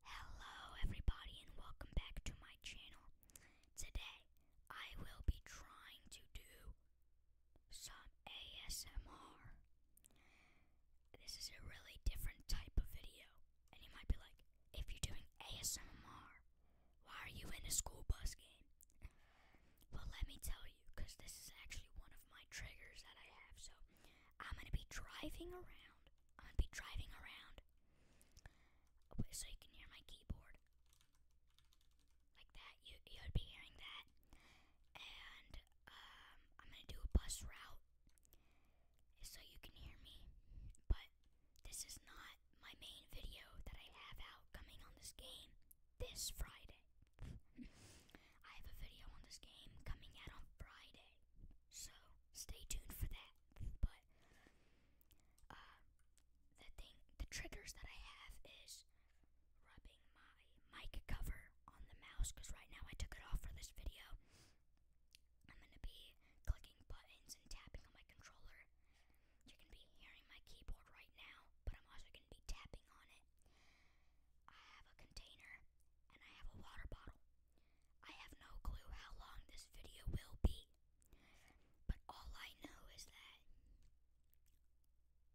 Hello everybody and welcome back to my channel. Today I will be trying to do some ASMR. This is a really different type of video and you might be like, if you're doing ASMR, why are you in a school bus game? well let me tell you because this is actually one of my triggers that I have so I'm going to be driving around I'm be driving around. so you can hear my keyboard. Like that. You you'd be hearing that. And um, I'm gonna do a bus route so you can hear me. But this is not my main video that I have out coming on this game this Friday. I have a video on this game coming out on Friday so stay tuned for that. But uh, the thing, the triggers that I have is rubbing my mic cover on the mouse because right now I took it off for this video. I'm gonna be clicking buttons and tapping on my controller. You can be hearing my keyboard right now, but I'm also gonna be tapping on it. I have a container and I have a water bottle. I have no clue how long this video will be, but all I know is that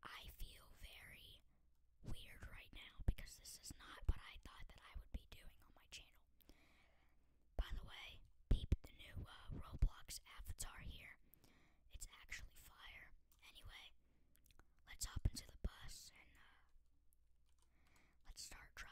I feel very weird right now because this is not what I thought that I would be doing on my channel. By the way, peep the new uh, Roblox avatar here. It's actually fire. Anyway, let's hop into the bus and uh, Let's start driving.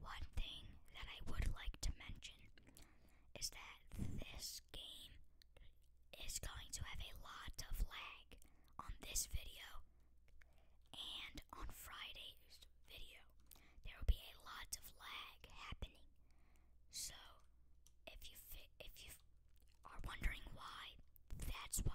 One thing that I would like to mention is that this game is going to have a lot of lag on this video and on Fridays video, there will be a lot of lag happening. So, if you if you are wondering why, that's why.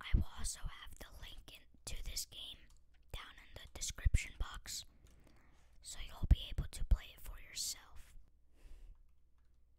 I will also have the link to this game down in the description box so you'll be able to play it for yourself.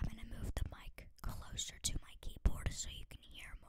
I'm going to move the mic closer to my keyboard so you can hear more.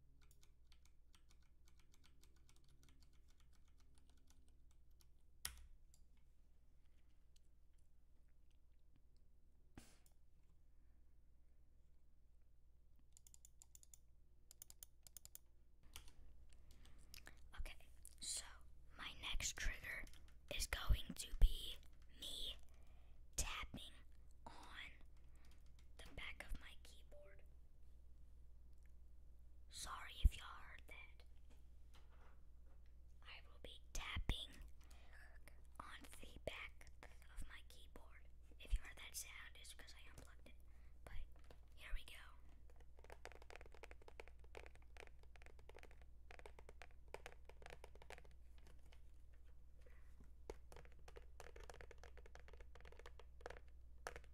Okay, so my next trigger is going to be me tapping on the back of my keyboard. Sorry if you heard that. I will be tapping on the back of my keyboard. If you heard that sound, it's because I unplugged it. But here we go.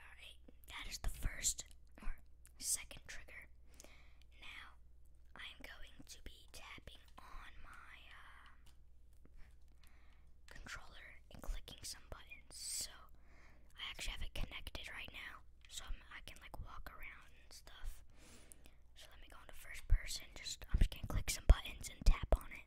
Alright, that is the first or second trigger. Now I'm going to be tapping on my uh, controller and clicking some buttons. So I actually have it connected right now, so I'm, I can like walk around and stuff. So let me go into first person. Just I'm just gonna click some buttons and tap on it.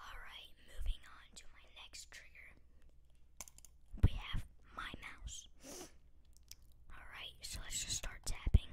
Alright, moving on to my next trigger. We have my mouse. Alright, so let's just start tapping.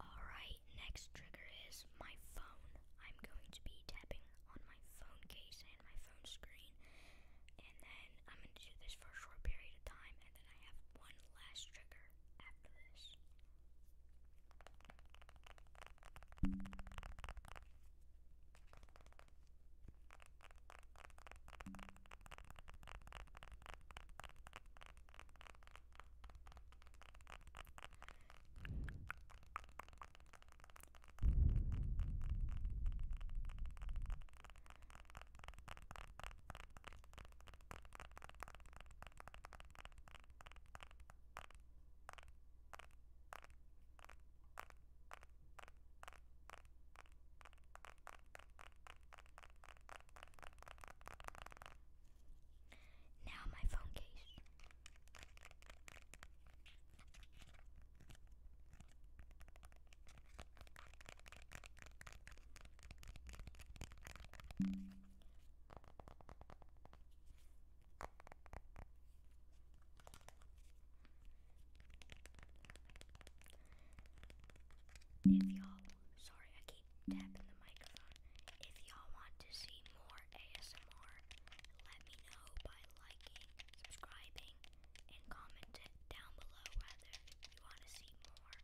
Alright, next trigger is my phone. I'm going to be tapping on my phone case and my phone screen. And then I'm going to do this for a short period of time, and then I have one last trigger after this. Now, my phone case. If y'all, sorry, I keep tapping the microphone. If y'all want to see more ASMR, let me know by liking, subscribing, and comment down below whether you want to see more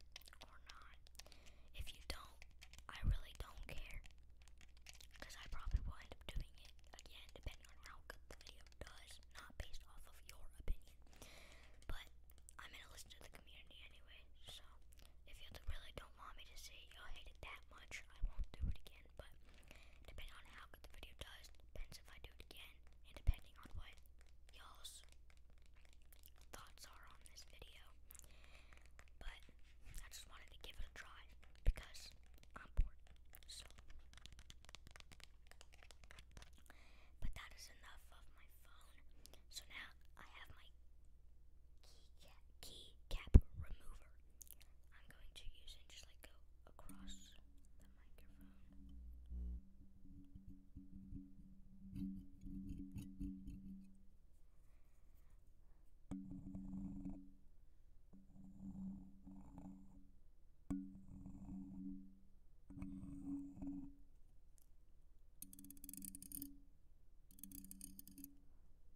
or not. If you don't, I really don't care. Because I probably will end up doing it again, depending on how good the video does, not based off of your opinion. But I'm going to listen to the community anyway, so if you really don't want me to say you hate it that much, I won't do it again again, but depending on how good the video does, depends if I do it again, and depending on what y'all's thoughts are on this video. But I just wanted to give it a try because I'm bored. So, but that is enough of my phone. So now I have my key cap, key cap remover. I'm going to use it just like go across the microphone.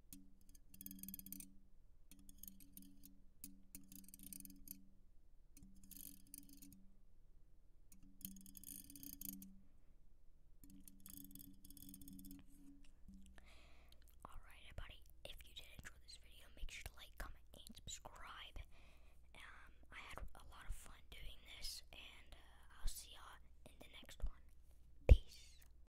Alright, everybody, if you did enjoy this video, make sure to like, comment, and subscribe. Um, I had a lot of fun doing this, and uh, I'll see y'all in the next one. Peace.